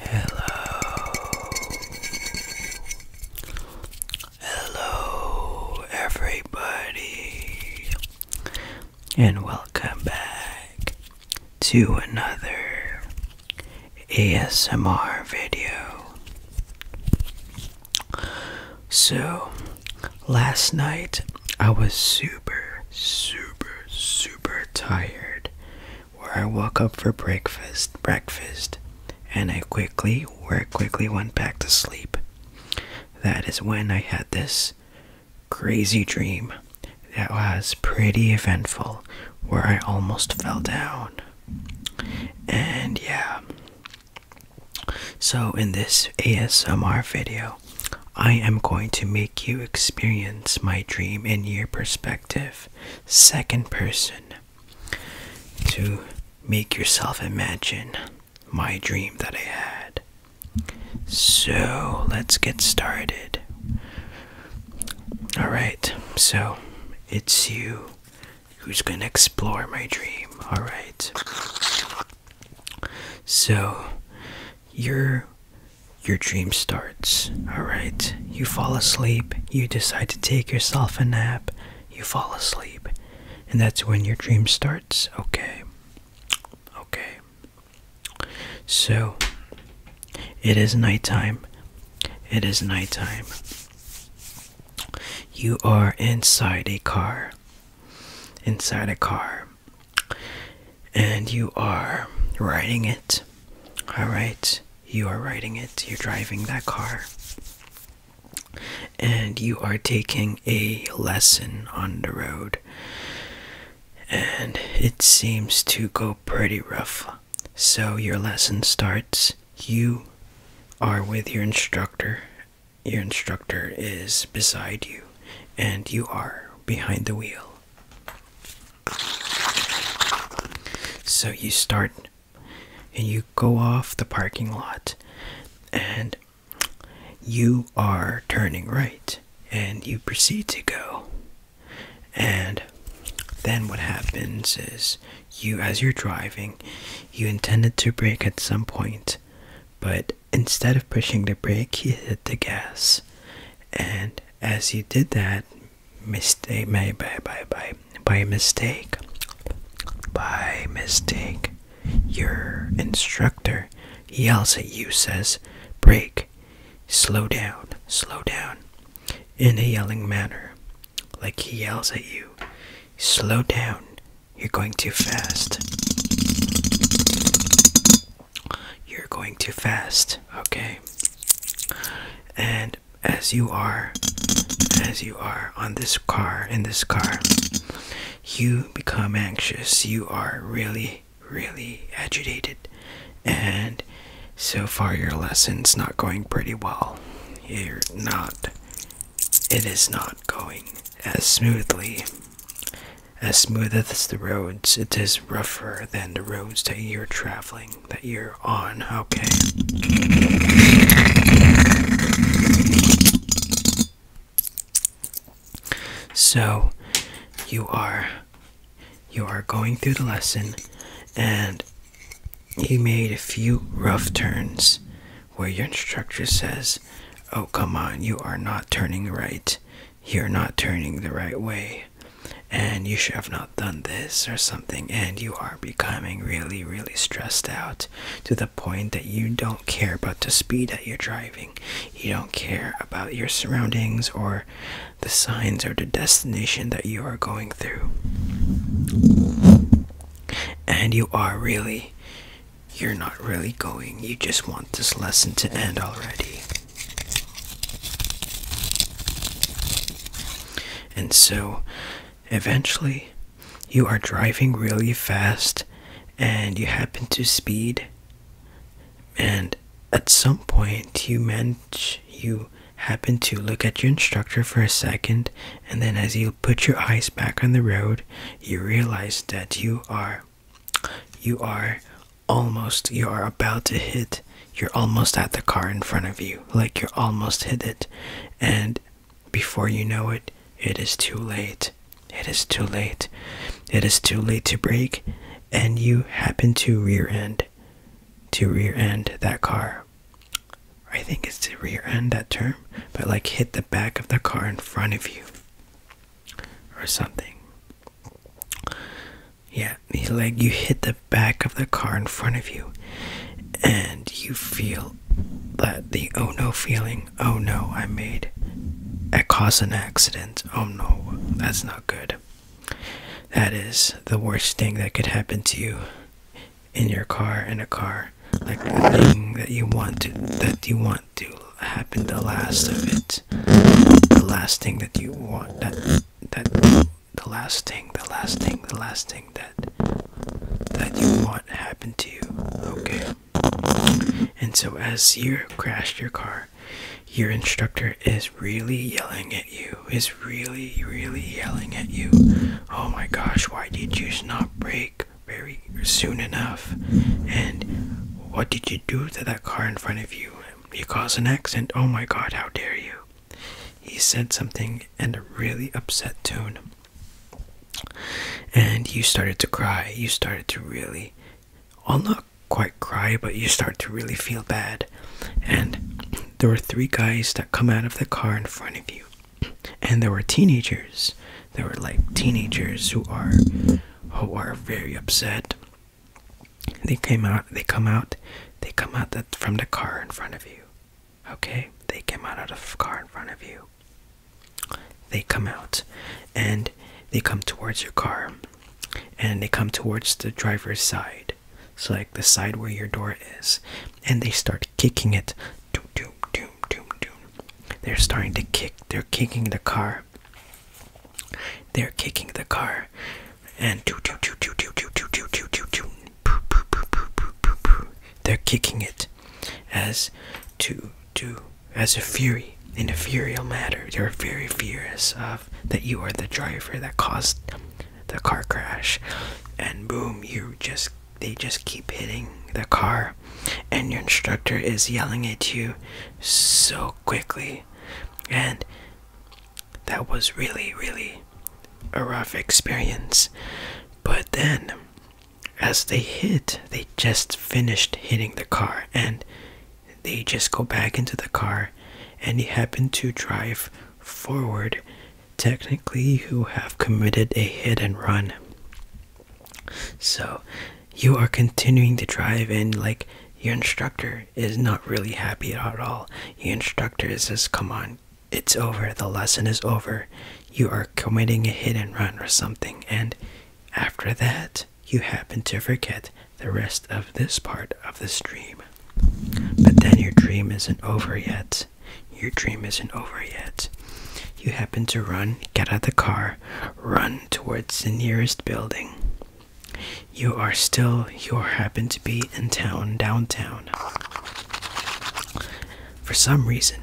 Hello, hello, everybody, and welcome back to another ASMR video. So, last night I was super, super, super super tired where I woke up for breakfast breakfast and I quickly where I quickly went back to sleep. That is when I had this crazy dream that was pretty eventful where I almost fell down. And yeah. So in this ASMR video, I am going to make you experience my dream in your perspective, second person, to make yourself imagine my dream that I had. So let's get started. Alright, so it's you who's gonna explore my dream, alright? So your your dream starts. All right. You fall asleep, you decide to take yourself a nap, you fall asleep. And that's when your dream starts. Okay. Okay. So, it is nighttime. It is nighttime. You are inside a car. Inside a car and you are riding it. All right, you are riding it. You're driving that car. And you are taking a lesson on the road. And it seems to go pretty rough. So your lesson starts. You are with your instructor. Your instructor is beside you. And you are behind the wheel. So you start and you go off the parking lot and you are turning right and you proceed to go. And then what happens is you, as you're driving, you intended to brake at some point, but instead of pushing the brake, he hit the gas. And as he did that, mistake, by, by, by, by mistake, by mistake, your instructor yells at you, says, "Break, slow down, slow down, in a yelling manner. Like he yells at you, slow down, you're going too fast you're going too fast, okay? And as you are, as you are on this car, in this car, you become anxious. You are really, really agitated. And so far, your lesson's not going pretty well. You're not, it is not going as smoothly. As smooth as the roads, it is rougher than the roads that you're traveling, that you're on, okay? So, you are you are going through the lesson and he made a few rough turns where your instructor says, "Oh, come on, you are not turning right." you're not turning the right way and you should have not done this or something and you are becoming really really stressed out to the point that you don't care about the speed that you're driving you don't care about your surroundings or the signs or the destination that you are going through and you are really you're not really going, you just want this lesson to end already. And so, eventually, you are driving really fast and you happen to speed, and at some point, you manage, you happen to look at your instructor for a second, and then as you put your eyes back on the road, you realize that you are you are almost, you are about to hit, you're almost at the car in front of you. Like you're almost hit it. And before you know it, it is too late. It is too late. It is too late to brake. And you happen to rear end, to rear end that car. I think it's to rear end that term, but like hit the back of the car in front of you or something. Yeah, he's like you hit the back of the car in front of you, and you feel that the oh no feeling. Oh no, I made, I caused an accident. Oh no, that's not good. That is the worst thing that could happen to you in your car in a car like the thing that you want to that you want to happen the last of it the last thing that you want that that the last thing the last thing the last thing that that you want happen to you okay and so as you crash your car your instructor is really yelling at you is really really yelling at you oh my gosh why did you not brake very soon enough. And what did you do to that car in front of you? You caused an accident. Oh my god, how dare you! He said something in a really upset tone. And you started to cry. You started to really, well, not quite cry, but you start to really feel bad. And there were three guys that come out of the car in front of you and there were teenagers there were like teenagers who are who are very upset they came out they come out they come out from the car in front of you okay they came out of the car in front of you they come out and they come towards your car and they come towards the driver's side so like the side where your door is and they start kicking it Doom, doom, doom, doom, doom. They're starting to kick. They're kicking the car. They're kicking the car. And do do do do do do do do do do They're kicking it as to do as a fury in a furial matter. you are very furious of that you are the driver that caused the car crash, and boom, you just they just keep hitting the car and your instructor is yelling at you so quickly and that was really really a rough experience but then as they hit they just finished hitting the car and they just go back into the car and you happen to drive forward technically you have committed a hit and run so you are continuing to drive and like your instructor is not really happy at all. Your instructor says, Come on, it's over, the lesson is over. You are committing a hit and run or something, and after that, you happen to forget the rest of this part of the dream. But then your dream isn't over yet. Your dream isn't over yet. You happen to run, get out of the car, run towards the nearest building. You are still, you happen to be in town, downtown. For some reason,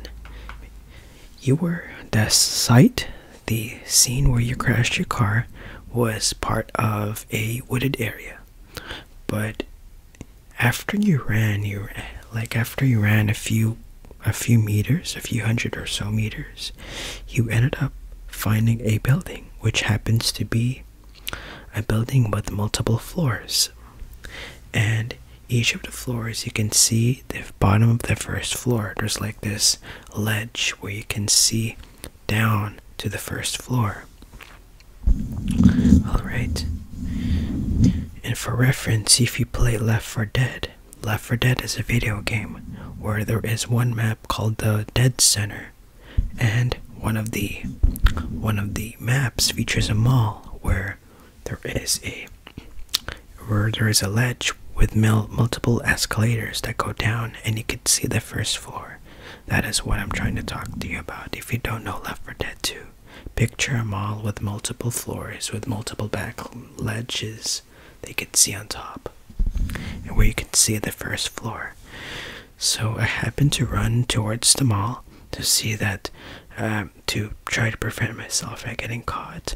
you were the site, the scene where you crashed your car was part of a wooded area, but after you ran you like after you ran a few a few meters a few hundred or so meters you ended up finding a building which happens to be a building with multiple floors and each of the floors you can see the bottom of the first floor there's like this ledge where you can see down to the first floor all right and for reference, if you play Left 4 Dead, Left 4 Dead is a video game where there is one map called the Dead Center, and one of the one of the maps features a mall where there is a where there is a ledge with multiple escalators that go down, and you can see the first floor. That is what I'm trying to talk to you about. If you don't know Left 4 Dead too. Picture a mall with multiple floors, with multiple back ledges they could see on top, and where you could see the first floor. So I happened to run towards the mall to see that, um, to try to prevent myself from getting caught.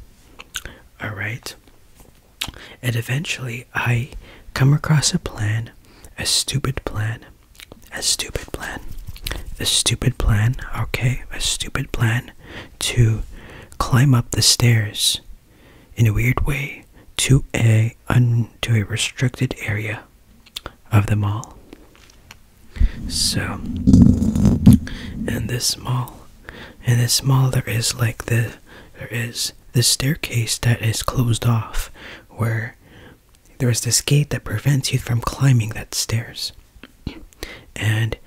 Alright? And eventually I come across a plan, a stupid plan, a stupid plan. A stupid plan, okay? A stupid plan to climb up the stairs in a weird way to a un a restricted area of the mall. So in this mall in this mall there is like the there is the staircase that is closed off where there is this gate that prevents you from climbing that stairs and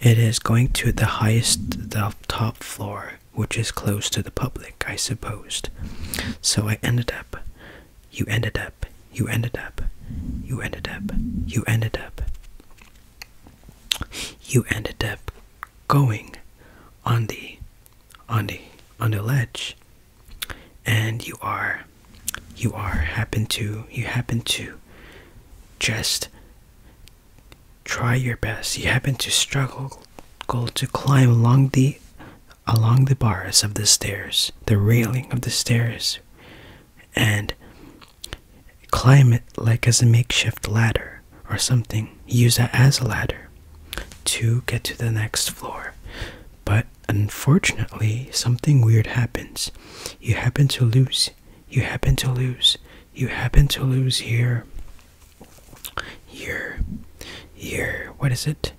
it is going to the highest the top floor which is closed to the public i supposed so i ended up you ended up you ended up you ended up you ended up you ended up going on the on the on the ledge and you are you are happen to you happen to just try your best you happen to struggle go to climb along the along the bars of the stairs the railing of the stairs and climb it like as a makeshift ladder or something use that as a ladder to get to the next floor but unfortunately, something weird happens. You happen to lose. You happen to lose. You happen to lose here. Here. Here. What is it?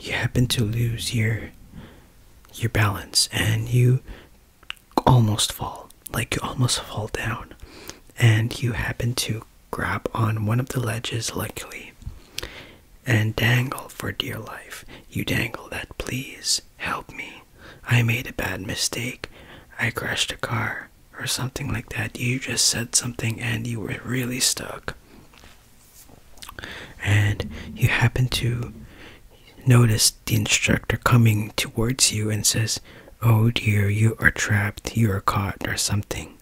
You happen to lose your your balance and you almost fall. Like you almost fall down. And you happen to grab on one of the ledges, luckily and dangle for dear life. You dangle that, please help me. I made a bad mistake. I crashed a car or something like that. You just said something and you were really stuck. And you happen to notice the instructor coming towards you and says, Oh dear, you are trapped, you are caught, or something.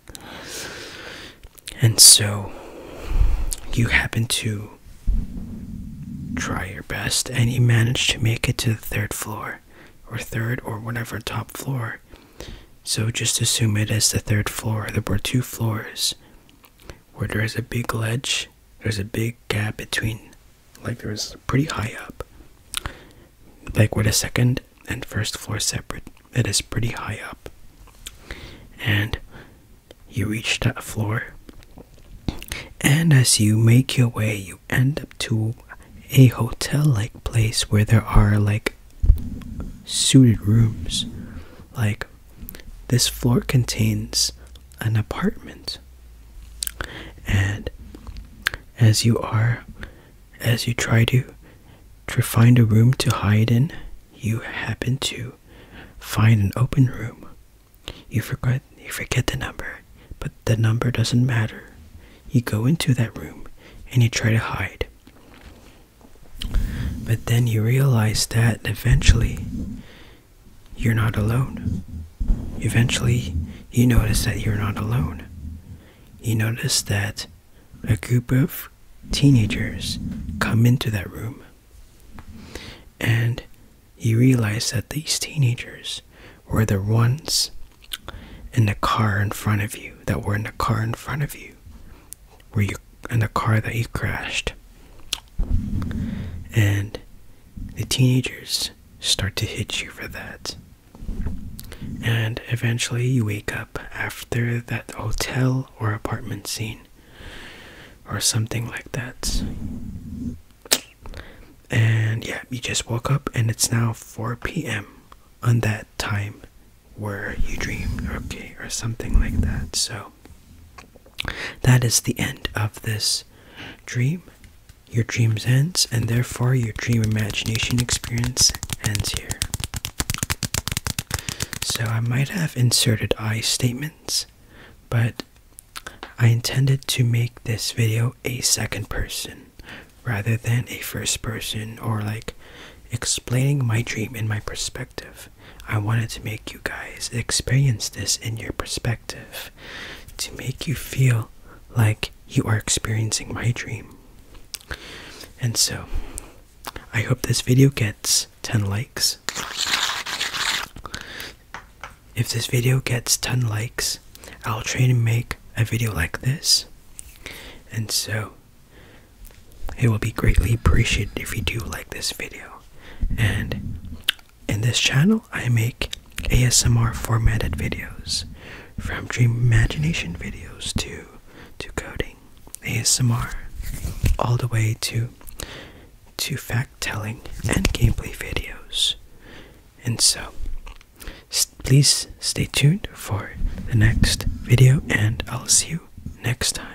And so you happen to try your best, and you manage to make it to the third floor, or third, or whatever top floor. So just assume it as the third floor. There were two floors where there is a big ledge, there's a big gap between, like, there is pretty high up, like, where the second and first floor separate it is pretty high up. And you reach that floor. And as you make your way, you end up to a hotel like place where there are like suited rooms. Like this floor contains an apartment. And as you are, as you try to to find a room to hide in, you happen to find an open room. You forget you forget the number, but the number doesn't matter. You go into that room and you try to hide. But then you realize that eventually you're not alone. Eventually, you notice that you're not alone. You notice that a group of teenagers come into that room. And you realize that these teenagers were the ones in the car in front of you, that were in the car in front of you, were you in the car that you crashed. And the teenagers start to hit you for that. And eventually you wake up after that hotel or apartment scene or something like that. And yeah, you just woke up and it's now 4 p.m. on that time where you dreamed, okay, or something like that. So that is the end of this dream. Your dreams ends and therefore your dream imagination experience ends here. So I might have inserted I statements, but I intended to make this video a second person rather than a first person or like explaining my dream in my perspective. I wanted to make you guys experience this in your perspective to make you feel like you are experiencing my dream. And so I hope this video gets 10 likes. If this video gets 10 likes, I'll try to make a video like this. And so, it will be greatly appreciated if you do like this video. And in this channel, I make ASMR formatted videos from dream imagination videos to to coding ASMR all the way to to fact telling and gameplay videos. And so please stay tuned for the next video and I'll see you next time.